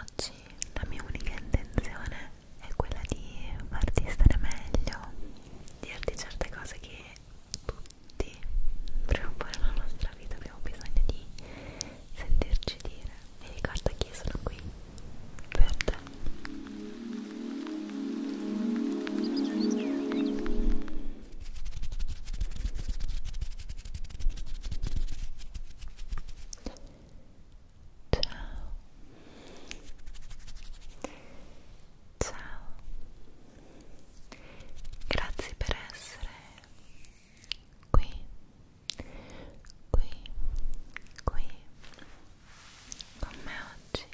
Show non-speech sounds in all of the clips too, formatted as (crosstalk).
Oggi la mia unica intenzione è quella di farti stare meglio, dirti certe cose che tutti, prima o poi nella nostra vita, abbiamo bisogno di sentirci dire. E ricorda che io sono qui per te. Ciao. Ciao. Grazie per essere qui. Qui. Qui. Con me oggi.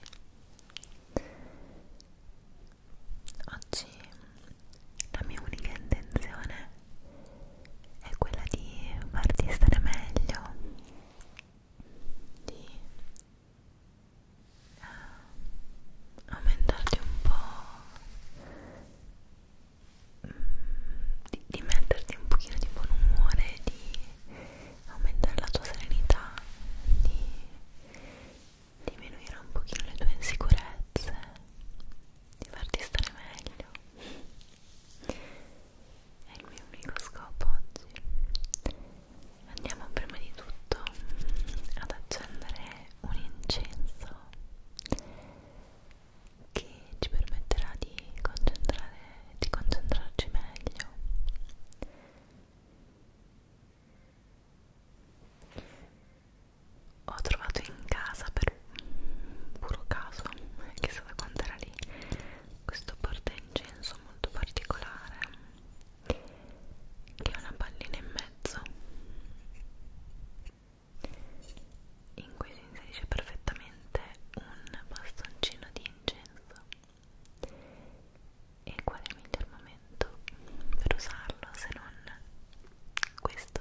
Oggi la mia unica intenzione è quella di farti stare meglio, di uh, aumentarti un po', mh, mm, di, di metterti un pochino di buon umore, di aumentare la tua serenità, di diminuire un pochino le tue insicurezze di farti stare meglio è il mio unico scopo oggi andiamo prima di tutto ad accendere un incenso che ci permetterà di, di concentrarci meglio ho trovato in casa per puro caso, chissà da quanto era lì, questo porta incenso molto particolare che ha una pallina in mezzo in cui si inserisce perfettamente un bastoncino di incenso e qual è il miglior momento per usarlo se non questo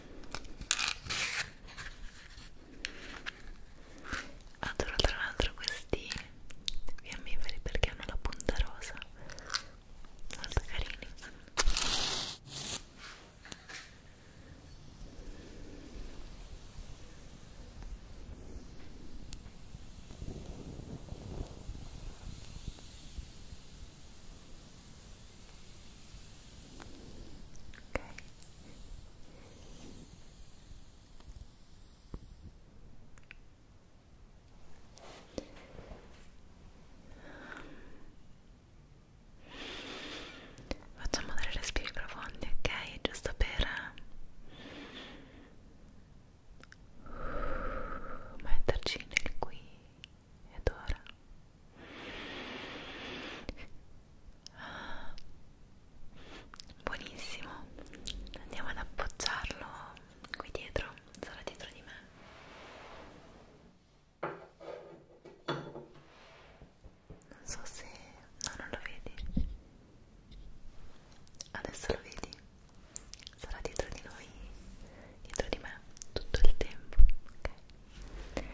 Adoro tra l'altro questi fiammiferi perché hanno la punta rosa molto carini ok facciamo delle respiri profondi ok giusto per metterci nel qui ed ora ah, buonissimo andiamo ad appoggiarlo qui dietro sarà dietro di me non so se no non lo vedi adesso lo vedi sarà dietro di noi dietro di me tutto il tempo ok e...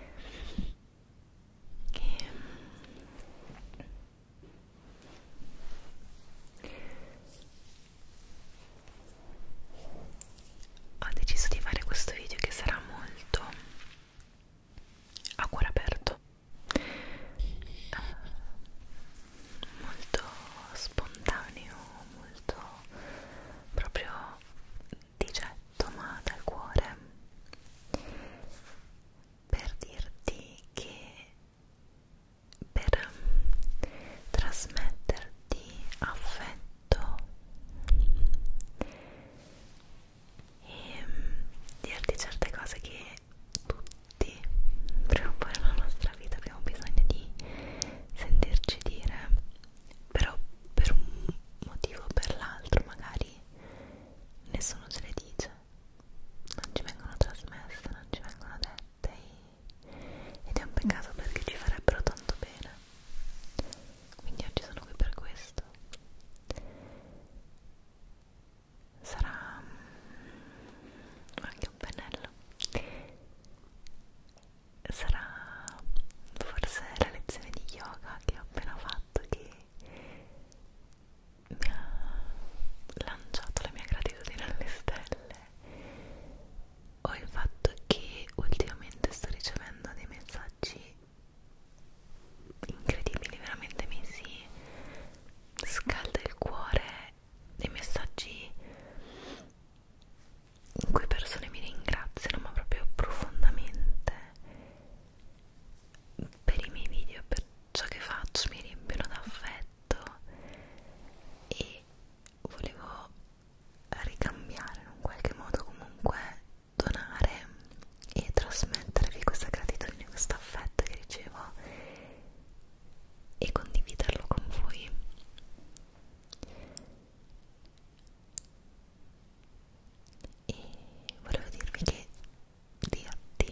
Ho deciso di fare questo video che sarà molto a cuore aperto, eh, molto spontaneo, molto proprio di getto ma dal cuore per dirti che per trasmetterti affetto e dirti certe cose che tutti prima o poi nella nostra vita abbiamo bisogno di sentirci dire però per un motivo o per l'altro magari nessuno ce le dice non ci vengono trasmesse, non ci vengono dette ed è un peccato perché ci farebbero tanto bene quindi oggi sono qui per questo sarà mm, anche un pennello sarà forse la lezione di yoga che ho appena fatto che mi ha lanciato la mia gratitudine alle stelle o il fatto che ultimamente sto ricevendo dei messaggi incredibili veramente mi si scalda il cuore dei messaggi in cui persone mi ringraziano ma proprio profondamente per i miei video, per ciò che faccio, mi riempiono d'affetto e volevo ricambiare in un qualche modo comunque donare e trasmettervi questa gratitudine, questo affetto che ricevo e condividerlo con voi e volevo dirvi che dirti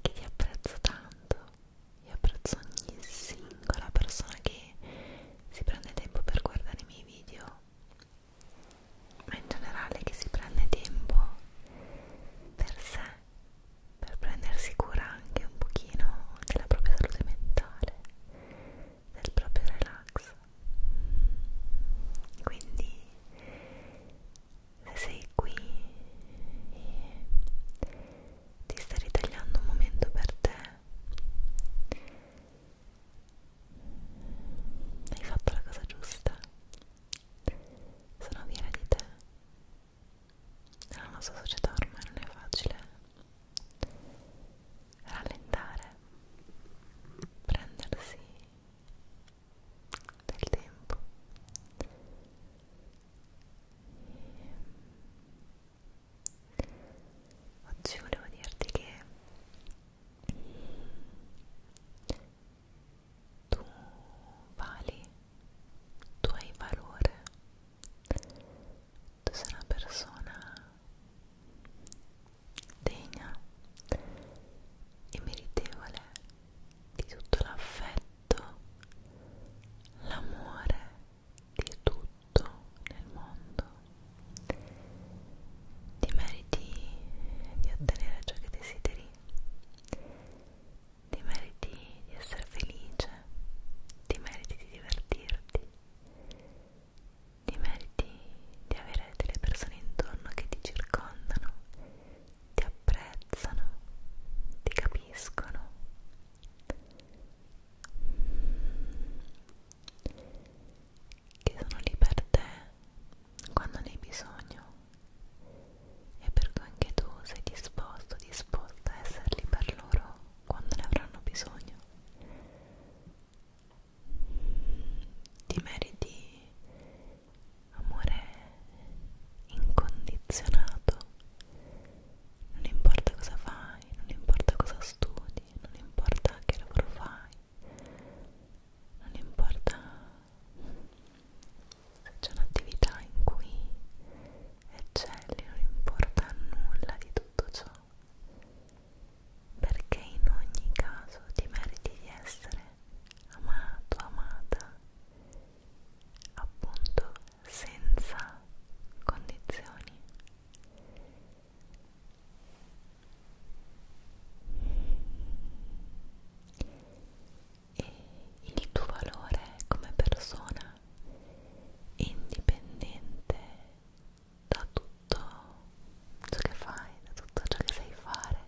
che ti apprezzo tanto io apprezzo ogni singola persona che si prende tempo per guardare i miei video ma in generale che si prende tempo per sé per prendersi cura anche un pochino della propria salute mentale del proprio relax quindi se sei qui e ti stai ritagliando un momento per te hai fatto la cosa giusta sono fiera di te nella nostra società ormai non è facile rallentare, prendersi del tempo e oggi volevo dirti che tu vali tu hai valore tu sei una persona degna e meritevole di tutto l'affetto, l'amore di tutto nel mondo. Ti meriti di ottenere ciò che desideri, ti meriti di essere felice, ti meriti di divertirti, ti meriti di avere delle persone intorno che ti circondano, ti apprezzano, ti capiscono. Che sono lì per te quando ne hai bisogno e per cui anche tu sei disposto, disposta a esserli per loro quando ne avranno bisogno. Ti meriti amore incondizionato, non importa cosa fai, non importa cosa studi, non importa che lavoro fai, non importa se c'è un'attività in cui e Jelly non importa nulla di tutto ciò perché in ogni caso ti meriti di essere amato, amata appunto senza condizioni e il tuo valore come persona indipendente da tutto ciò che fai, da tutto ciò che sai fare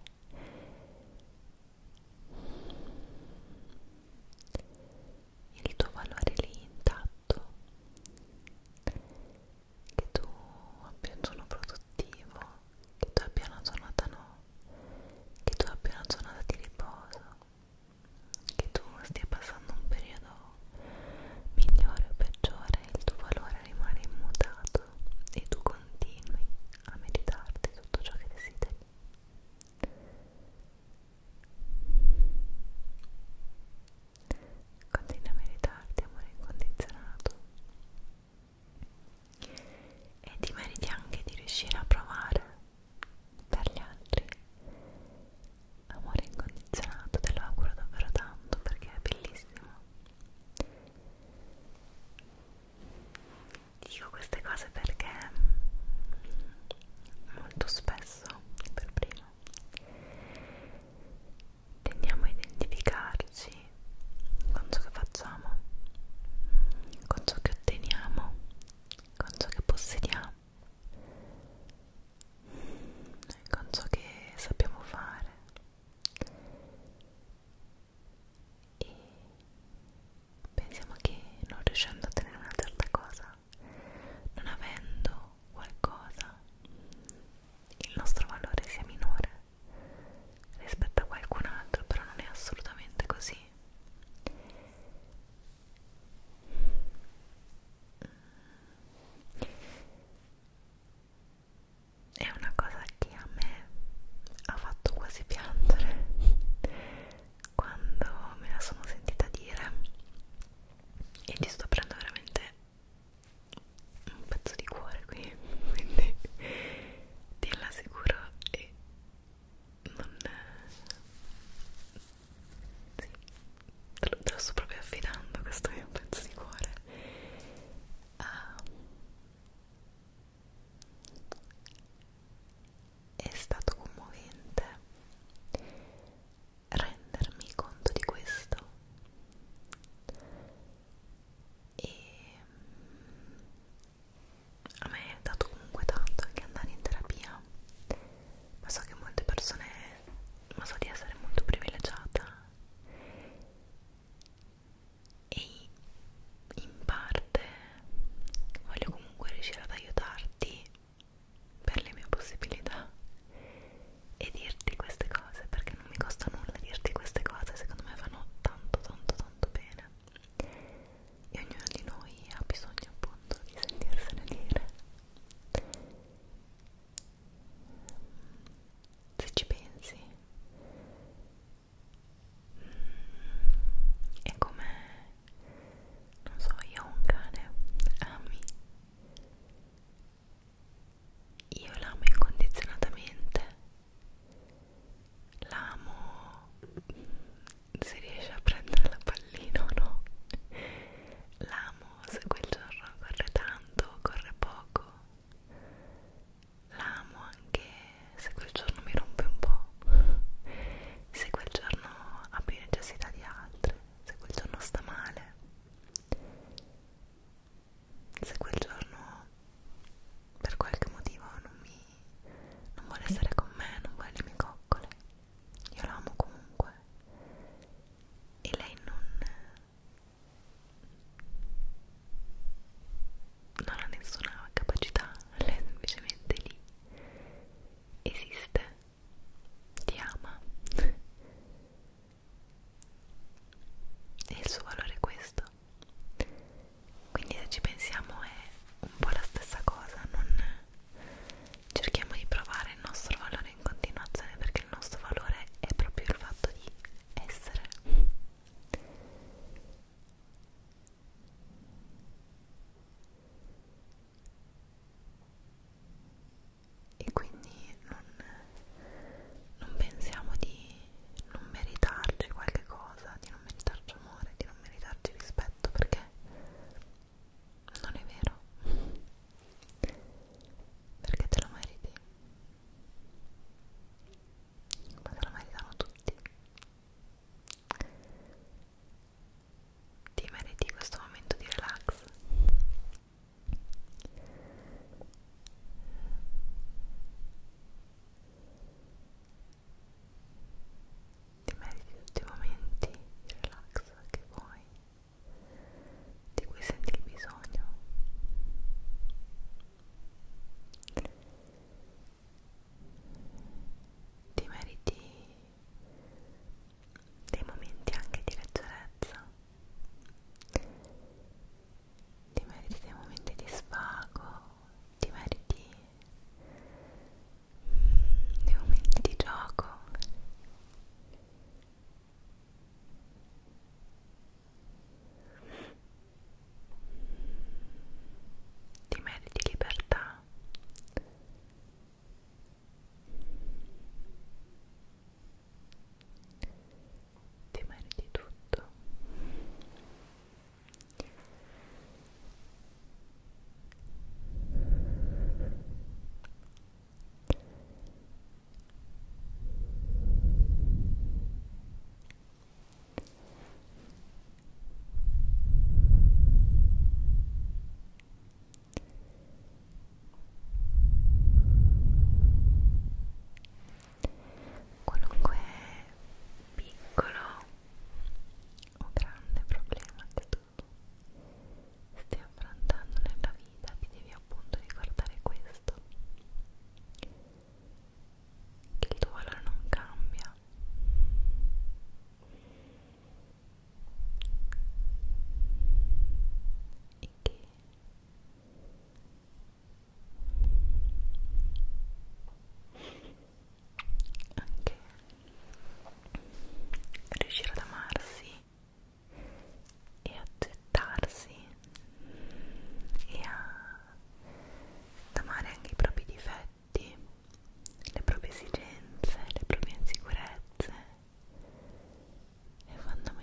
il tuo valore lì intatto che tu abbia un suono produttivo che tu abbia una giornata no che tu abbia una giornata di riposo che tu stia passando un periodo migliore o peggiore, il tuo valore rimane immutato e tu continui a meritarti tutto ciò che desideri. Continua a meritarti amore incondizionato e ti meriti anche di riuscire a provare per gli altri amore incondizionato te lo auguro davvero tanto perché è bellissimo dico queste cose perché mm, molto spesso per primo tendiamo a identificarci con ciò che facciamo con ciò che otteniamo con ciò che possediamo con ciò che sappiamo fare e pensiamo che non riuscendo a ottenere una certa cosa non avendo qualcosa il nostro valore sia minore rispetto a qualcun altro però non è assolutamente così è una cosa che a me ha fatto quasi piangere quando me la sono sentita dire e ti sto prendendo veramente un pezzo di cuore qui (laughs) quindi ti assicuro e non sì, te lo, te lo sto proprio affidando questo mio pezzo di cuore ah. è stato commovente rendermi conto di questo e mm, a me è dato comunque tanto anche andare in terapia ma so che molte persone ma so di essere molto privilegiata e in parte voglio comunque riuscire ad aiutarti per le mie possibilità e dirti queste cose perché non mi costa nulla dirti queste cose secondo me fanno tanto tanto tanto bene e ognuno di noi ha bisogno appunto di sentirsene dire se ci pensi è come non so io ho un cane ami io l'amo incondizionatamente l'amo se riesce a prendere la pallina o no l'amo se quel giorno corre tanto corre poco l'amo anche se quel giorno mi rompe un po' se quel giorno ha più necessità di altre se quel giorno sta male se quel giorno per qualche motivo non mi non vuole stare con me non vuole le mie coccole io l'amo comunque e lei non non ha nessuna capacità lei è semplicemente lì esiste ti ama e il suo valore è questo quindi se ci pensiamo è un po' la stessa cosa non cerchiamo di provare il nostro valore in continuazione perché il nostro valore è proprio il fatto di essere e quindi non, non pensiamo di non meritarci qualche cosa, di non meritarci amore, di non meritarci rispetto perché non è vero perché te lo meriti ma te lo meritano tutti ti meriti questo momento di relax ti meriti tutti i momenti di relax che vuoi di cui senti il bisogno ti meriti dei momenti anche di leggerezza ti meriti dei momenti di svago ti meriti nei momenti di gioco ti meriti libertà ti meriti tutto Qualunque piccolo o grande problema che stai affrontando nella vita ti devi appunto ricordare questo che il tuo valore non cambia e che anche riuscire ad amarsi e accettarsi e a, ad amare anche i propri difetti, le proprie esigenze, le proprie insicurezze è fondamentale.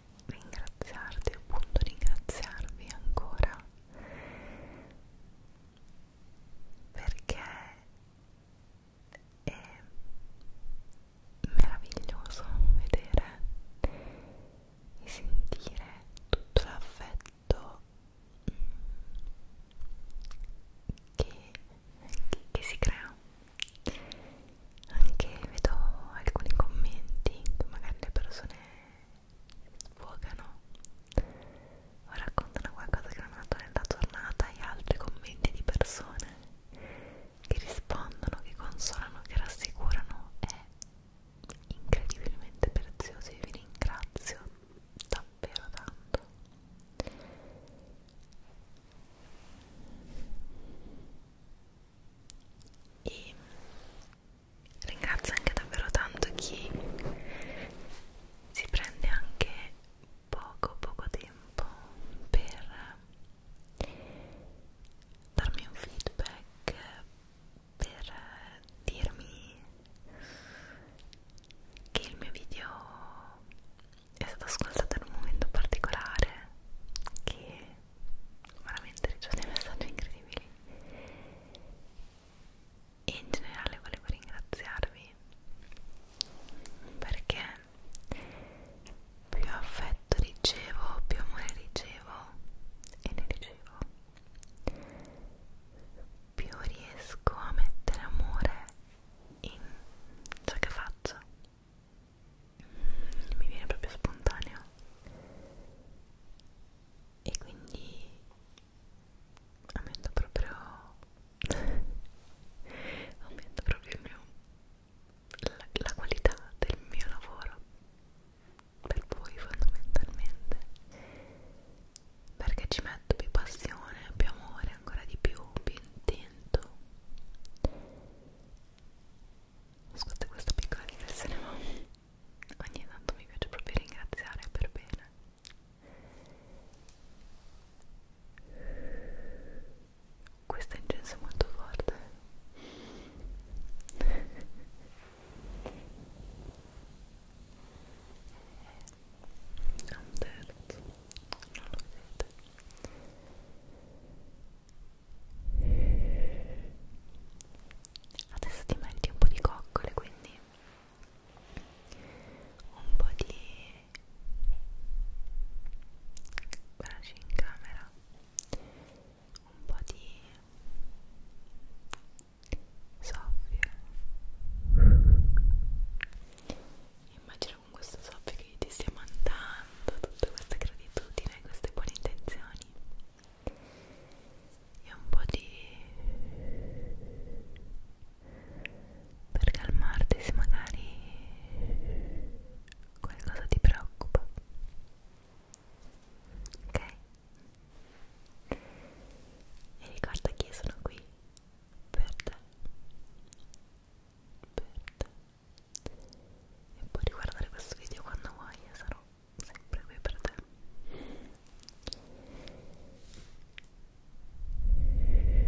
ringraziarti, appunto ringraziarvi ancora perché è meraviglioso vedere e sentire tutto l'affetto mm, che, che si crea anche vedo alcuni commenti che magari le persone sfogano o raccontano qualcosa che hanno fatto nella giornata e altri commenti di persone che rispondono, che consolano, che rassicurano è incredibilmente prezioso e vi ringrazio davvero tanto e ringrazio anche davvero tanto chi si prende anche poco poco tempo per darmi un feedback per dirmi che il mio video è stato ascoltato in un momento particolare che veramente ricevo dei messaggi incredibili e in generale volevo ringraziarvi perché più affetto ricevo, più amore ricevo e ne ricevo più riesco a mettere amore in ciò che faccio mi viene proprio spontaneo e quindi aumento proprio (laughs) aumento proprio il mio, la, la qualità del mio lavoro per voi fondamentalmente perché ci metto più passione, più amore, ancora di più, più intento Scusate questa piccola digressione ma ogni tanto mi piace proprio ringraziare per bene questo incenso è molto forte è un terzo non lo vedete Adesso ti metti un po' di coccole, quindi un po' di braccio in camera, un po' di soffie. Immagino con questo soffio che ti stia mandando tanto tutta questa gratitudine e queste buone intenzioni e un po' di per calmarti se magari qualcosa ti preoccupa ok e ricorda che io sono qui per te per te e puoi riguardare questo video quando vuoi e sarò sempre qui per te Rilassati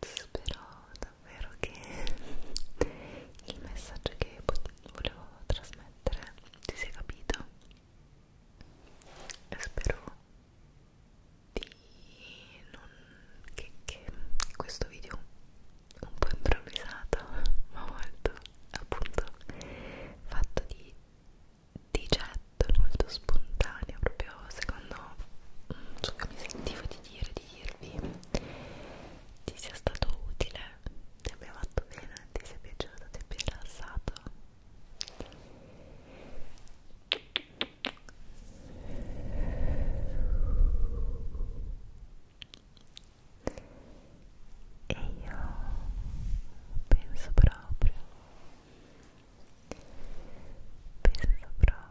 spero davvero che il messaggio che volevo trasmettere ti sia capito e spero di non che, che questo video un po' improvvisato ma molto appunto fatto di di getto molto spontaneo proprio secondo mm, ciò che mi sentivo di dire di dirvi ti sia stato utile, ti abbia fatto bene, ti sia piaciuto, ti abbia rilassato e io penso proprio penso proprio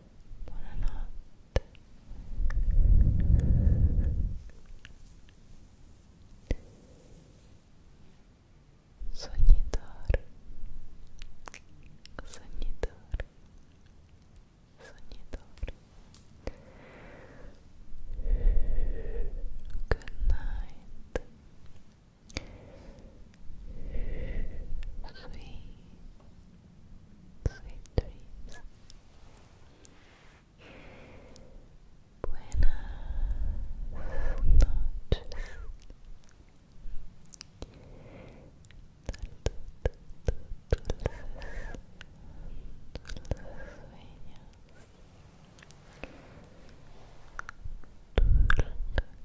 Buonanotte. Sognitore. Sognitore. Sognitore. Good night. Sweet Sweet dreams. Buenas noches. Dulces, dulces sueños. Dulces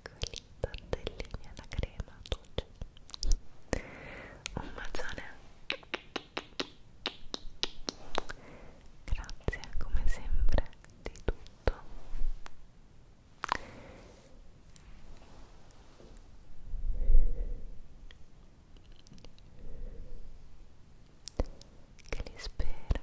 piccoli tortellini alla crema dolce un bacione grazie come sempre di tutto che li spera